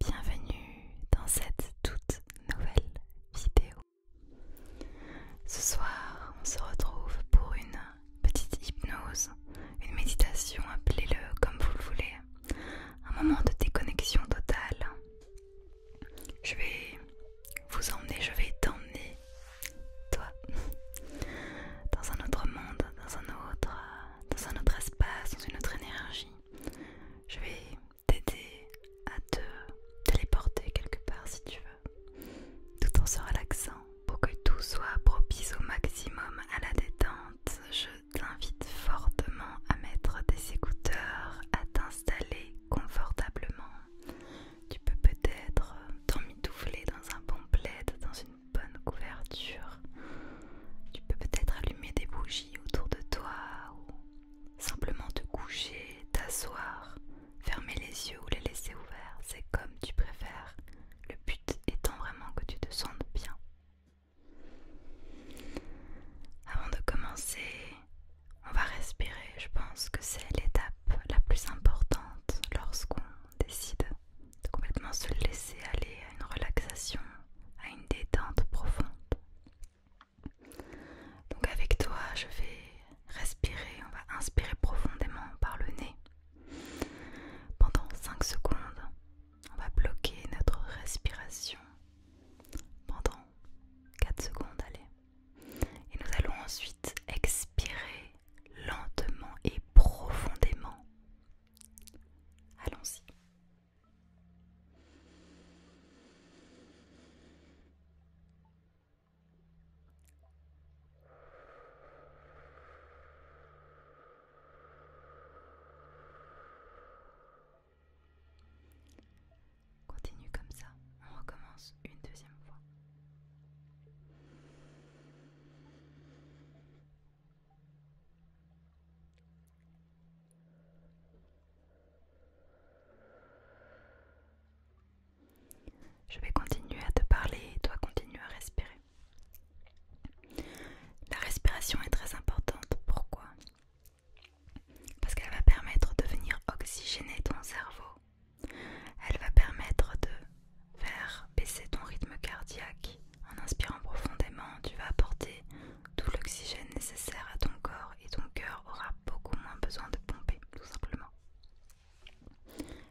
bienvenue dans cette toute nouvelle vidéo. Ce soir, on se retrouve pour une petite hypnose, une méditation, appelez-le comme vous le voulez, un moment de déconnexion totale. Je vais vous emmener, je vais t'emmener, toi, dans un autre monde, dans un autre, dans un autre espace, dans une autre énergie. Je vais t'aider à te téléporter quelque part si tu veux, tout en se relaxant. Pour que tout soit propice au maximum à la détente, je t'invite fortement à mettre des écouteurs, à t'installer confortablement. Tu peux peut-être t'emmitoufler dans un bon plaid, dans une bonne couverture, tu peux peut-être allumer des bougies autour de toi ou simplement te coucher, t'asseoir, fermer les yeux ou les laisser ouverts. C'est comme tu préfères. Le but étant vraiment que tu te sentes bien. Avant de commencer, on va respirer. Je pense que c'est l'étape la plus importante lorsqu'on décide de complètement se laisser aller à une relaxation à une détente profonde. Donc avec toi, je vais respirer, on va inspirer profondément par le nez. Pendant 5 secondes, on va bloquer notre respiration pendant 4 secondes, allez. Et nous allons ensuite expirer lentement et profondément. Allons-y. Continue comme ça, on recommence une deuxième fois. Je vais continuer à te parler et toi continue à respirer. La respiration est très importante. Pourquoi Parce qu'elle va permettre de venir oxygéner ton cerveau. Elle va permettre de faire baisser ton rythme cardiaque. En inspirant profondément, tu vas apporter tout l'oxygène nécessaire à ton corps et ton cœur aura beaucoup moins besoin de pomper, tout simplement.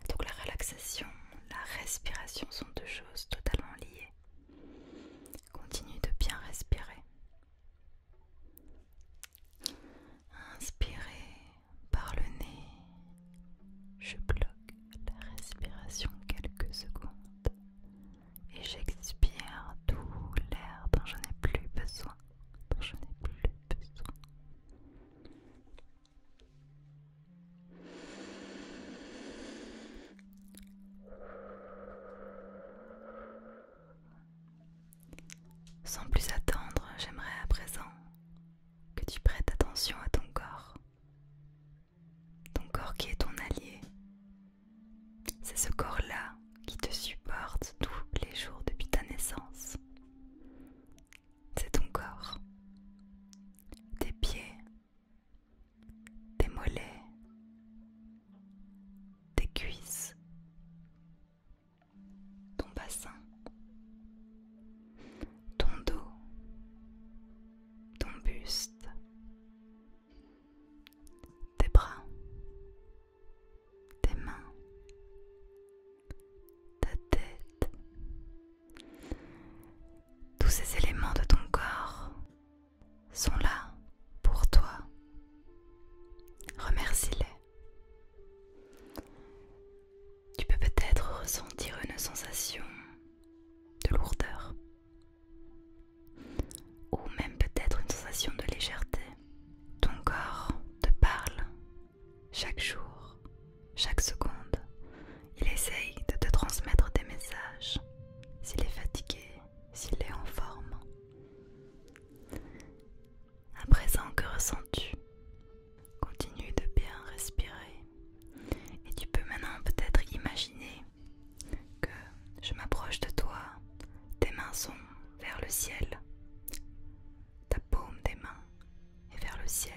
Donc la relaxation, la respiration sont deux choses totalement liées. Continue de bien respirer. Inspirez par le nez. Je bloque la respiration quelques secondes et j'expire tout l'air dont je n'ai plus besoin, dont je n'ai plus besoin. Sans plus attendre, j'aimerais à présent que tu prêtes attention à ton corps, ton corps qui est ton allié. C'est ce corps-là qui te supporte tous les jours depuis ta naissance. C'est ton corps, tes pieds, tes mollets, tes cuisses, ton bassin, ton dos, ton buste, tes bras, tes mains, ta tête, tous ces éléments de ton corps sont là pour toi. Remercie-les. Tu peux peut-être ressentir une sensation de lourdeur ou même peut-être une sensation de légèreté. Ton corps te parle chaque jour, chaque seconde. Il essaye de te transmettre des messages, s'il est fatigué, s'il est en forme. À présent, que ressens-tu Continue de bien respirer. Et tu peux maintenant peut-être imaginer que je m'approche de toi, tes mains sont vers le ciel, ta paume des mains est vers le ciel,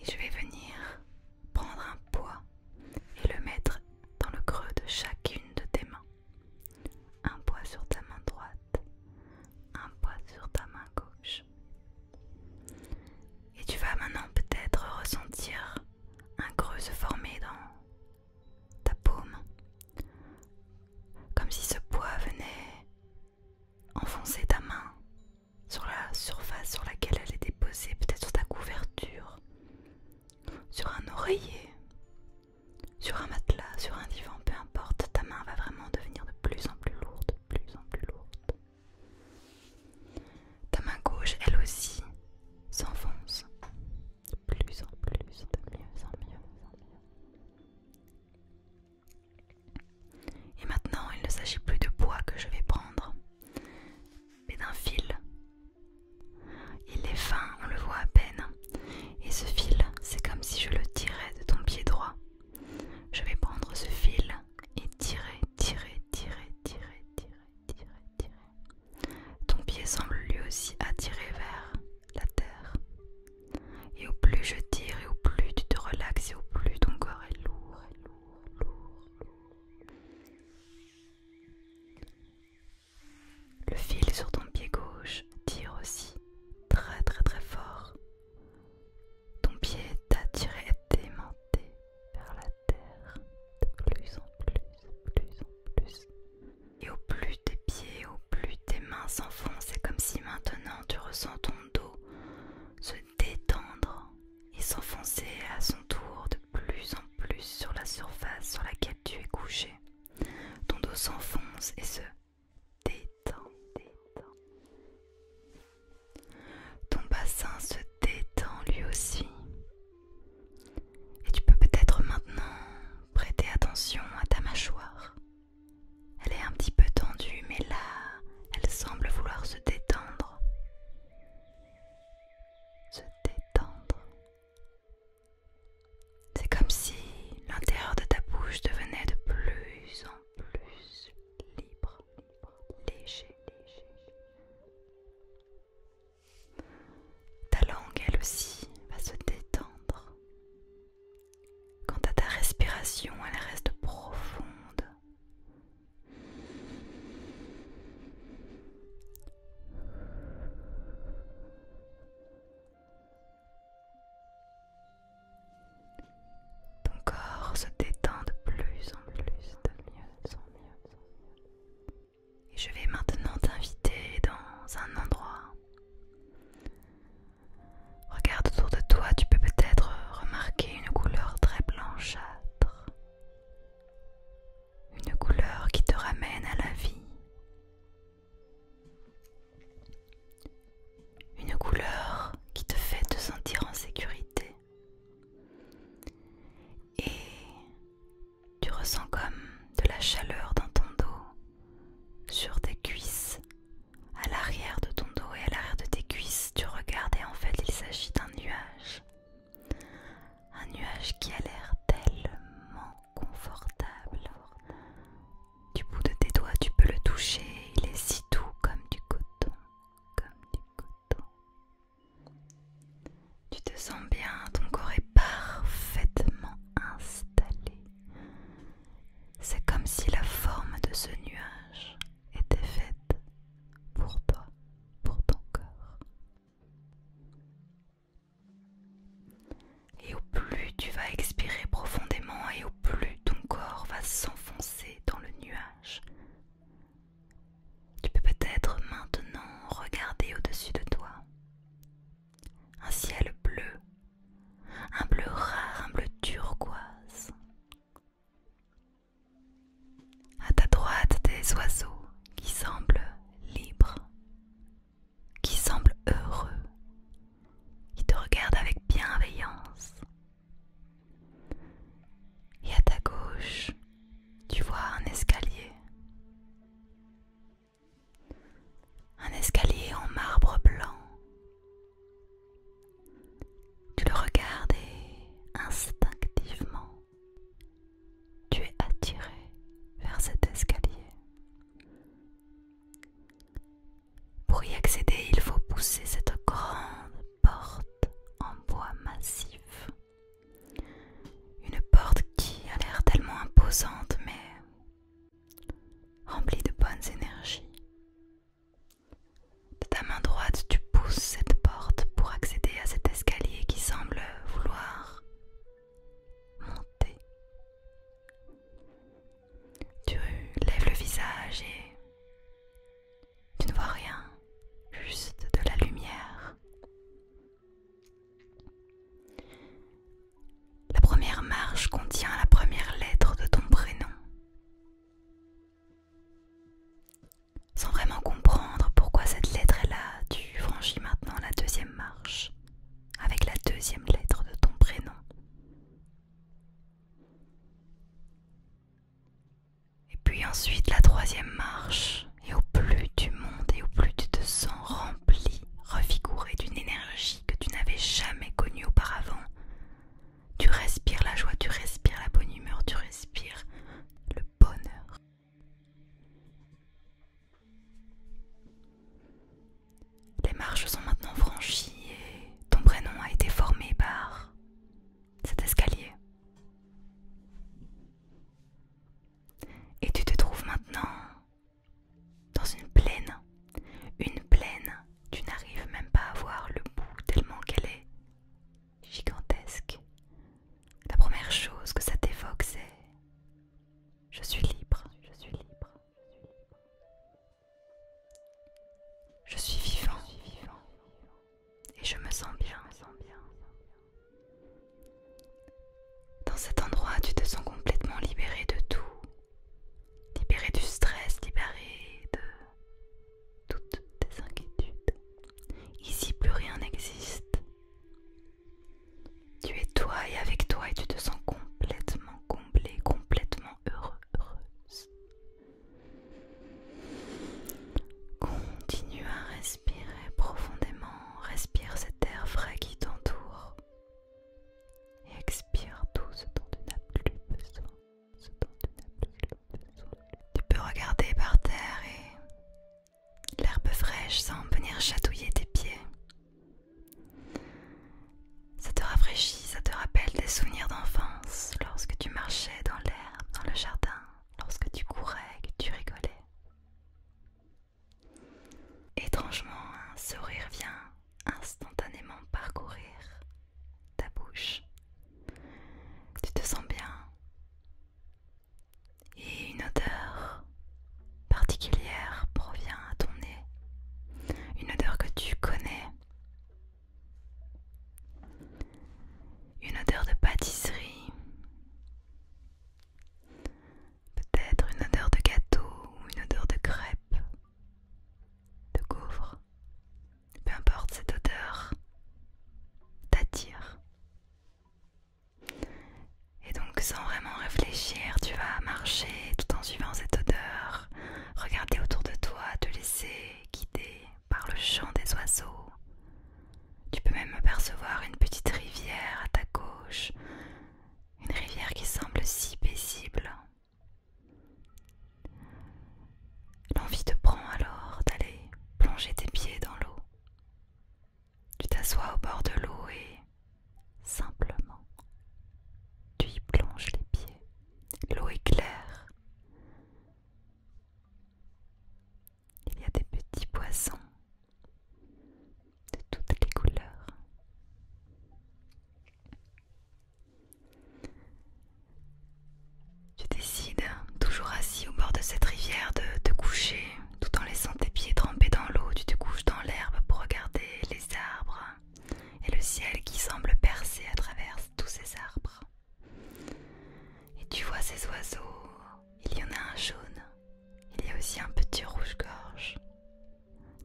et je vais venir prendre un poids et le mettre dans le creux de chacune de tes mains. Un poids sur ta main droite, un poids sur ta main gauche. Et tu vas maintenant peut-être ressentir un creux se former dans ta paume, comme si ce poids venait enfoncer ta main sur la surface sur laquelle elle était posée, peut-être sur ta couverture, sur un oreiller, sur un matelas, sur un divan, peu importe, ta main va vraiment devenir de plus en plus lourde, de plus en plus lourde. Ta main gauche, elle aussi, s'enfonce de plus en plus, de mieux en mieux Et maintenant, il ne s'agit plus de bois que je vais prendre, mais d'un fil. Il est fin, on le voit à peine. Et ce fil, c'est comme si je le tirais de ton pied droit. Je vais prendre ce fil et tirer, tirer, tirer, tirer, tirer, tirer, tirer. Ton pied semble lui aussi attiré vers la terre. Et au plus je tire et au plus tu te relaxes et au plus ton corps est lourd, lourd, lourd. Le fil sur ton pied gauche tire aussi très très très fort. Ton pied est attiré et aimanté vers la terre de plus en plus, plus en plus. Et au plus tes pieds, au plus tes mains s'enfoncent, c'est comme si maintenant tu ressens ton dos se détendre et s'enfoncer à son tour de plus en plus sur la surface sur laquelle tu es couché. Ton dos s'enfonce et se détend. Ton bassin se détend lui aussi et tu peux peut-être maintenant prêter attention à ta mâchoire. Elle est un petit peu tendue, mais là, elle semble vouloir se détendre. Se détendre. C'est comme si l'intérieur de ta bouche devenait de plus en plus libre, libre léger, léger. Ta langue, elle aussi, va se détendre. Quant à ta respiration, elle reste profonde. Ton corps se détend de plus en plus, de mieux en mieux. Et je vais maintenant t'inviter dans un endroit. Regarde autour de toi, tu peux peut-être remarquer une couleur très blanchâtre. Une couleur qui te ramène à la vie. Une couleur qui te fait te sentir en sécurité. Et tu ressens comme de la chaleur dans ton dos, sur tes cuisses, à l'arrière de ton dos et à l'arrière de tes cuisses. Tu regardes et en fait il s'agit d'un nuage. Un nuage qui a l'air tellement confortable. Du bout de tes doigts, tu peux le toucher. Il est si doux comme du coton, comme du coton, tu te sens bien, ton corps est parfaitement installé. C'est comme si la forme de ce nuage était faite pour toi, pour ton corps. Et au plus tu vas expirer profondément et au plus ton corps va s'enfoncer dans le nuage, tu peux peut-être maintenant regarder au-dessus de toi. Un ciel bleu, un bleu rare, un bleu turquoise. À ta droite, des oiseaux qui semblent libres, qui semblent heureux, qui te regardent avec bienveillance. Et à ta gauche, tu vois un escalier un escalier en marbre blanc. Tu le regardes et instinctivement, tu es attiré vers cet escalier. Pour y accéder, il faut pousser cette grande porte en bois massif. Une porte qui a l'air tellement imposante, mais remplie de bonnes énergies. De ta main droite, tu pousses cette porte pour accéder à cet escalier qui semble vouloir monter. Tu lèves le visage et tu ne vois rien, juste de la lumière. La première marche contient la première lettre de ton prénom. Sans vraiment comprendre pourquoi cette lettre est là, tu franchis maintenant la deuxième marche avec la deuxième lettre de ton prénom. Et puis ensuite la troisième marche et au plus du monde et au plus de te sens rempli, refiguré d'une énergie que tu n'avais jamais connue auparavant. Tu respires la joie, tu respires la bonne humeur, tu respires le bonheur. Les marches sont maintenant franchies et ton prénom a été formé par cet escalier. Et tu te trouves maintenant dans une plaine. Une plaine, tu n'arrives même pas à voir le bout tellement qu'elle est gigantesque. La première chose que ça t'évoque, c'est je suis libre, je suis libre, je suis vivant, je suis vivant. et je me sens bien, je me sens bien. Dans cet endroit, tu te sens complètement libéré de tout, libéré du stress, libéré de toutes tes inquiétudes. Ici, plus rien n'existe. Tu es toi et avec toi et tu te sens complètement comblé, complètement heureux, Continue à Respirez profondément, respire cet air frais qui t'entoure. Et expire tout ce dont tu n'as plus besoin. Ce dont tu n'as plus besoin. Tu peux regarder par terre et l'herbe fraîche semble venir chatouiller tes pieds. Ça te rafraîchit, ça te rappelle des souvenirs d'enfance lorsque tu marchais dans l'herbe, dans le jardin, lorsque tu courais, que tu rigolais. Étrangement, un sourire vient instantanément parcourir ta bouche. Tu te sens bien. Et une odeur particulière provient à ton nez. Une odeur que tu connais. Une odeur de pâtisserie. Peut-être une odeur de gâteau ou une odeur de crêpe, de couvre Peu importe cette odeur, t'attire. Et donc sans vraiment réfléchir, tu vas marcher tout en suivant cette odeur, regarder autour de toi, te laisser guider par le chant des oiseaux, tu peux même apercevoir une petite rivière à ta gauche, une rivière qui semble si paisible. L'envie te prend alors d'aller plonger tes pieds dans l'eau. Tu t'assois au bord de l'eau et simplement tu y plonges les pieds. L'eau est claire. Il y a des petits poissons de toutes les couleurs. Tu décides, toujours assis au bord de cette rivière, de te coucher tout en laissant tes pieds tremper dans l'eau. Tu te couches dans l'herbe pour regarder les arbres et le ciel qui semble percer à travers tous ces arbres. Et tu vois ces oiseaux il y en a un jaune, il y a aussi un petit rouge-gorge.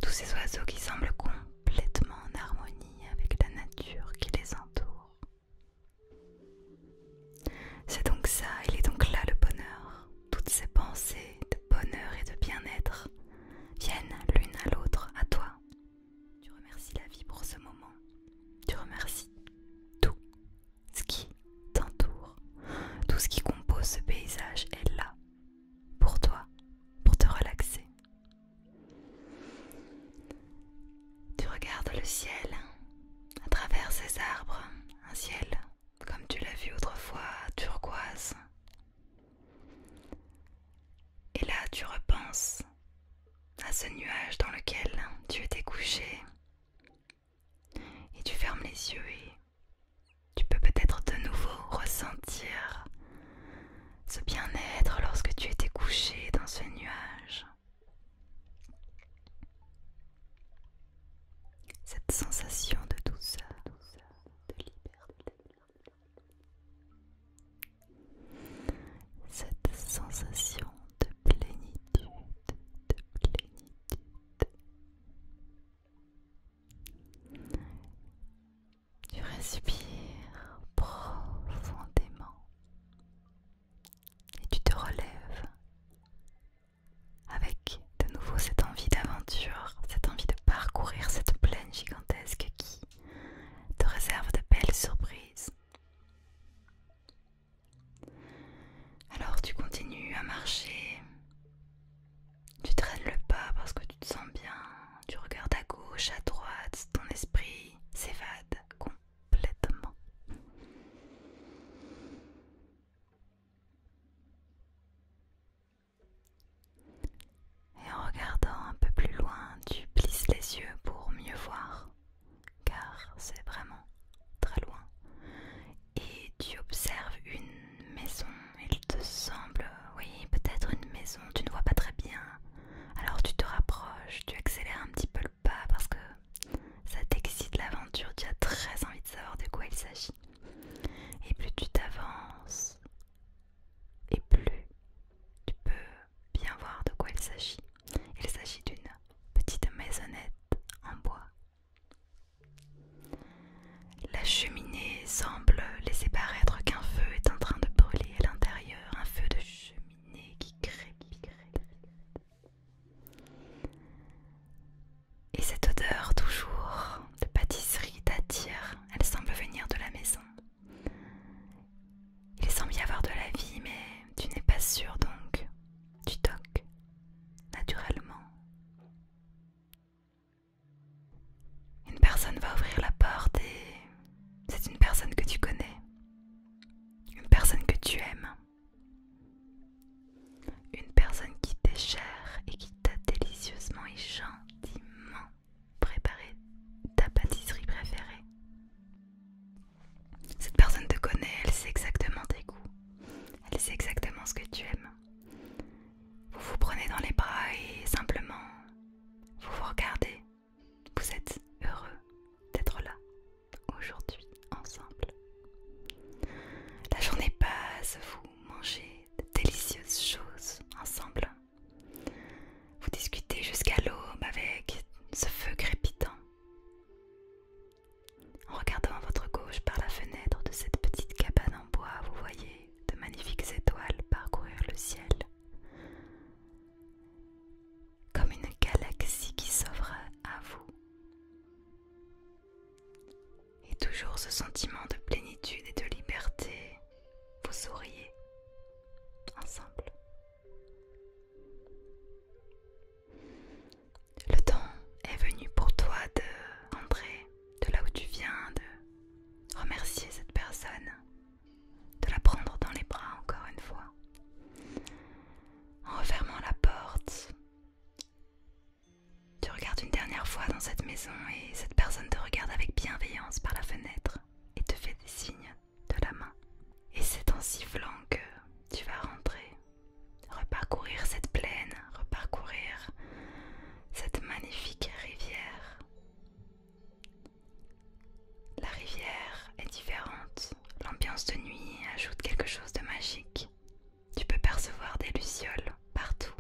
Tous ces oiseaux qui semblent complètement en harmonie avec la nature qui les entoure. C'est donc ça, il est donc là le bonheur. Toutes ces pensées de bonheur et de bien-être viennent l'une à l'autre à toi. Tu remercies la vie pour ce moment. Tu remercies tout ce qui t'entoure, tout ce qui compose ce paysage est là pour toi, pour te relaxer. Tu regardes le ciel à travers ces arbres, un ciel comme tu l'as vu autrefois, turquoise. Et là, tu repenses à ce nuage dans lequel tu étais couché et tu fermes les yeux et tu peux peut-être de nouveau ressentir ce bien-être lorsque tu étais couché dans ce nuage. Cette sensation de douceur, de liberté. Cette sensation de plénitude, de plénitude, tu respires profondément et tu te relèves avec de nouveau cette envie d'aventure, cette envie de parcourir cette plaine gigantesque qui te réserve de belles surprises. Alors tu continues à marcher, tu traînes le pas parce que tu te sens bien, tu regardes à gauche, à droite, ton esprit s'évade complètement. Et en regardant un peu plus loin, tu plisses les yeux pour mieux voir, car c'est vraiment très loin. Et tu observes une maison, il te semble, oui, peut-être une maison, tu ne vois pas très bien. Alors tu te rapproches, tu accélères un petit peu le pas parce que ça t'excite l'aventure, tu as très envie de savoir de quoi il s'agit. Et plus tu t'avances, et plus tu peux bien voir de quoi il s'agit. Il s'agit d'une petite maisonnette en bois la cheminée semble laisser paraître qu'un feu est en train de brûler à l'intérieur, un feu de cheminée qui crée Et cette odeur toujours de pâtisserie t'attire, elle semble venir de la maison. Il semble y avoir de la vie, mais tu n'es pas sûr donc. Tu toques naturellement une personne va ouvrir la porte et c'est une personne que tu connais, une personne que tu aimes, une personne qui t'est chère et qui t'a délicieusement et gentiment préparé ta pâtisserie préférée. Cette personne te connaît, elle sait exactement tes goûts, elle sait exactement ce que tu aimes. Vous vous prenez dans les bras et simplement vous vous regardez. Vous êtes heureux d'être là aujourd'hui ensemble. La journée passe, vous mangez de délicieuses choses ensemble. Vous discutez jusqu'à l'aube avec ce feu crépitant. En regardant votre gauche par la fenêtre de cette petite cabane en bois, vous voyez de magnifiques étoiles parcourir le ciel. Comme une galaxie qui s'ouvre à vous. Et toujours ce sentiment de plénitude et de liberté, vous souriez ensemble. Le temps est venu pour toi de rentrer de là où tu viens, de remercier cette personne, de la prendre dans les bras encore une fois, en refermant la porte. Tu regardes une dernière fois dans cette maison et cette personne te regarde avec bienveillance par la fenêtre et te fait des signes de la main. Et c'est en sifflant que tu vas rentrer reparcourir cette plaine, reparcourir cette magnifique rivière. La rivière est différente, l'ambiance de nuit ajoute quelque chose de magique. Tu peux percevoir des lucioles partout.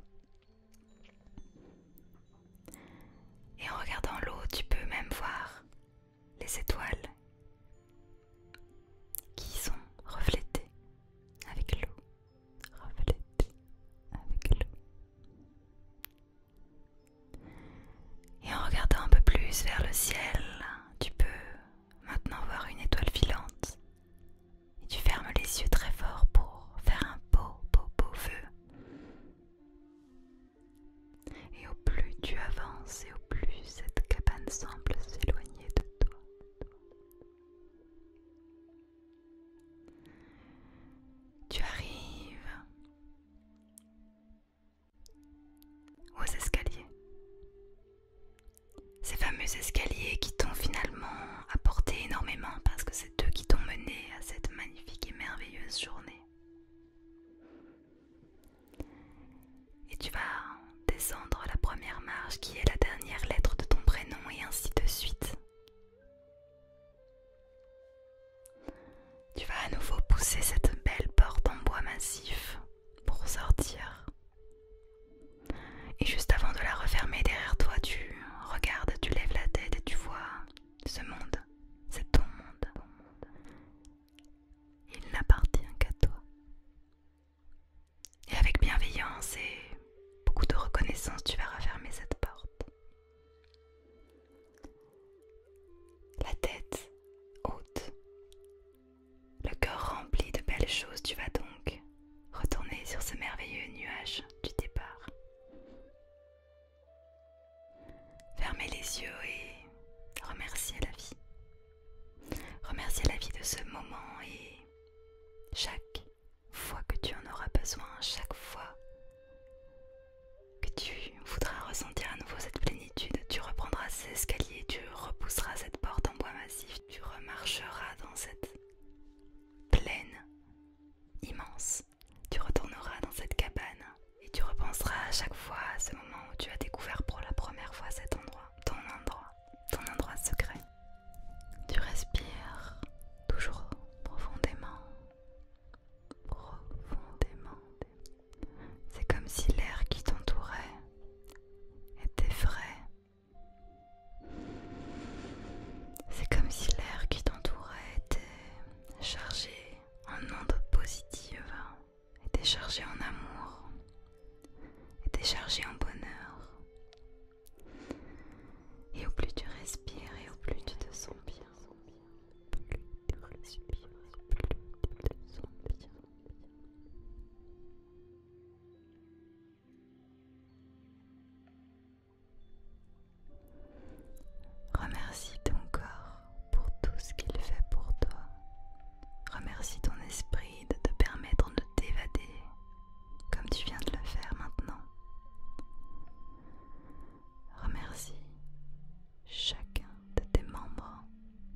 Et en regardant l'eau, tu peux même voir les étoiles qui sont reflétées avec l'eau avec l'eau. Et en regardant un peu plus vers le ciel, tu peux maintenant voir une étoile filante. Et tu fermes les yeux très fort pour faire un beau, beau, beau feu Et au plus tu avances et au plus cette cabane semble s'éloigner de toi. Tu arrives aux escaliers. Ces fameux escaliers qui t'ont finalement apporté énormément parce que c'est eux qui t'ont mené à cette magnifique et merveilleuse journée. Et tu vas descendre la première marche qui est la dernière lettre de ton prénom et ainsi de suite. Tu vas à nouveau pousser cette belle porte en bois massif pour sortir. Et juste avant de la refermer derrière toi, tu regardes, tu lèves la tête et tu vois ce monde. C'est ton monde. Il n'appartient qu'à toi. Et avec bienveillance et beaucoup de reconnaissance, tu vas refermer cette porte. La tête haute, le cœur rempli de belles choses, tu vas donc retourner sur ce merveilleux nuage du départ. Fermez les yeux et remerciez la vie. Remerciez la vie de ce moment et chaque fois que tu en auras besoin, chaque fois que tu voudras ressentir à nouveau cette plénitude, tu reprendras ces escaliers, tu repousseras cette porte en bois massif, tu remarcheras dans cette plaine immense, tu retourneras dans cette cabane et tu repenseras à chaque fois à ce moment où tu as découvert pour la première fois cet endroit, ton endroit ton endroit secret. Tu respires toujours profondément, profondément. C'est comme si l'air qui t'entourait était frais. C'est comme si l'air qui t'entourait était chargé en ondes positives, était chargé en amour, était chargé en bonheur. Et au plus tu respires et au plus tu te sens bien. bien. Remercie ton corps pour tout ce qu'il fait pour toi. Remercie ton esprit de te permettre de t'évader comme tu viens de le faire maintenant. Remercie chacun de tes membres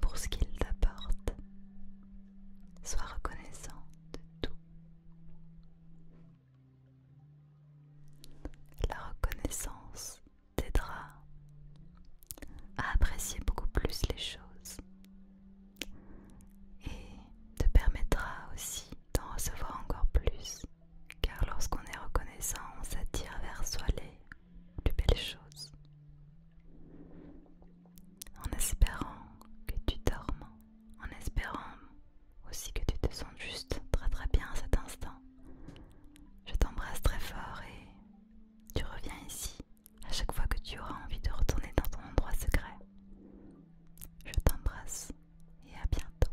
pour ce qu'ils t'apportent. Sois reconnaissant de tout. La reconnaissance t'aidera à apprécier beaucoup plus les choses et te permettra aussi d'en recevoir encore plus, car lorsqu'on est reconnaissant, on s'attire vers soi les plus belles choses. En espérant que tu dormes, en espérant aussi que tu te sens juste très très bien à cet instant, je t'embrasse très fort et tu reviens ici à chaque fois que tu auras envie de retourner dans ton endroit secret. Je t'embrasse et à bientôt.